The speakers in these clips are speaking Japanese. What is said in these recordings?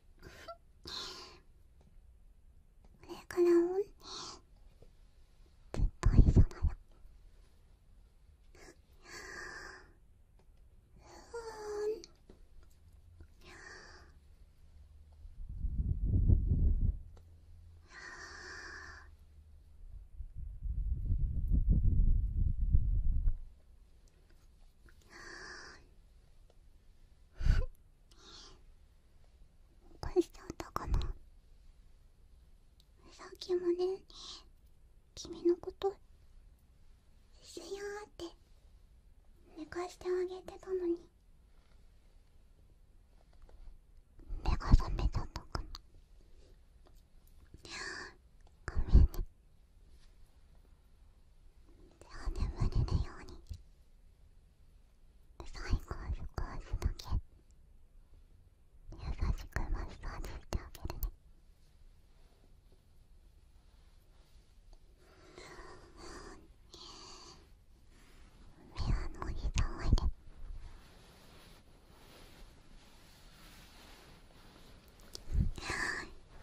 これからもねずっと一緒だよ…寝かしちゃったかなさっきもね君のことすやーって寝かしてあげてたのに目が覚めちゃったかなごめんね手を眠れるように最後は少しだけ優しくマッサージしてあげるねメアのおじさんおい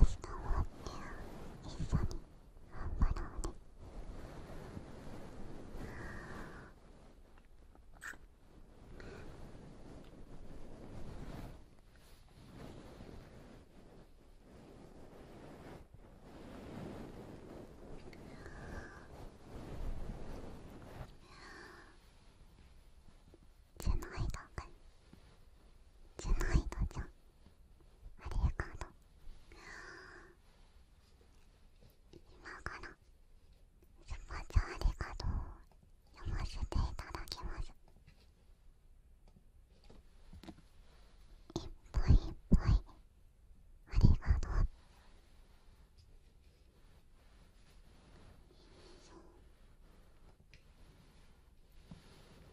明日もあって一緒に。張ろうねじゃないだかじゃないだじゃん。ありがとう今からスパチャありがとうを読ませていただきますいっぱいいっぱいありがとうえ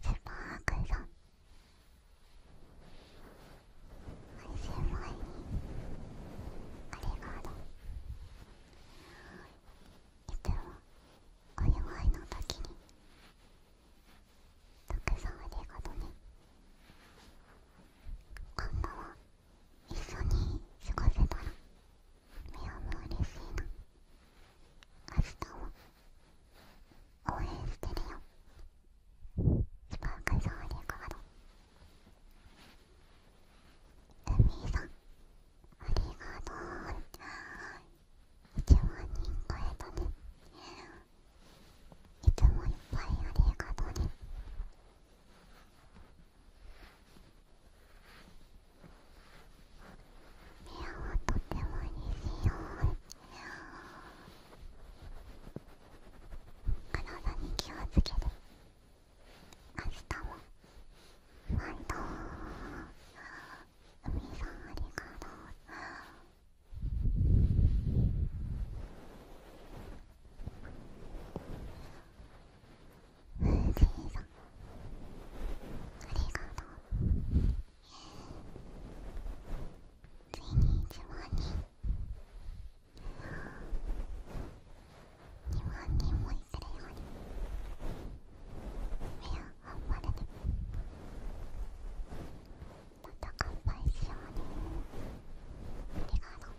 先パー井さん配信前にありがとういつもお祝いの時にたくさんありがとうね今度は一緒に過ごせたらミオも嬉しいな明日も応援してるよスークソーリーコードルミーさんありがとう1万人超えたねいつもいっぱいありがとうね部屋はとてもにしよ体に気をつけて明日もファイト海さんありかとうジミーさんありがとうついに1万人2万人もいっるようにいや頑張れねまた乾杯しようねありがとうさんありがとう自分にあ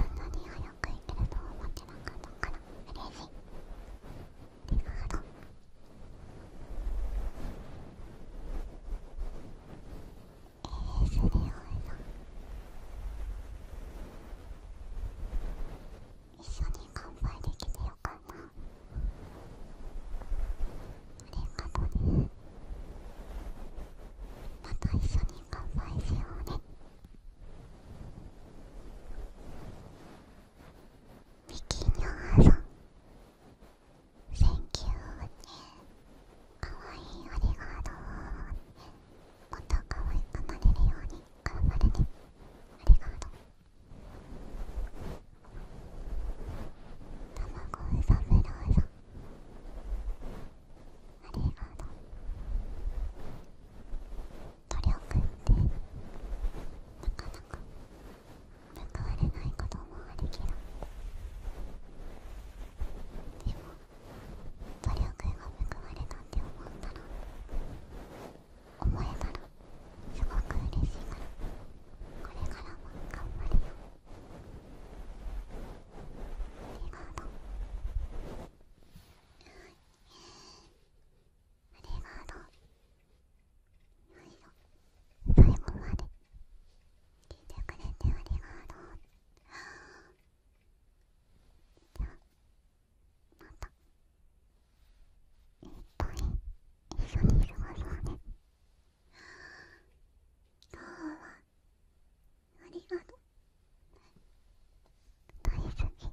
んなに早く行けると思ってなかったから嬉しいンさん一緒に乾杯できてよかったありがとねまた一緒に乾杯しようねミキニャーさんセンキューねかわいいありがとうねもっと可愛くなれるように頑張るねありがとう卵うさぶらうありがとう努力ってなかなか報われないこともあるけどでも努力が報われたって思ったの。思えたらすごく嬉しいからこれからも頑張るよありがとうありがとうはいよ最後まで聞いてくれてありがとうじゃあまたいっぱい一緒に過るそうね今日はありがとう大好き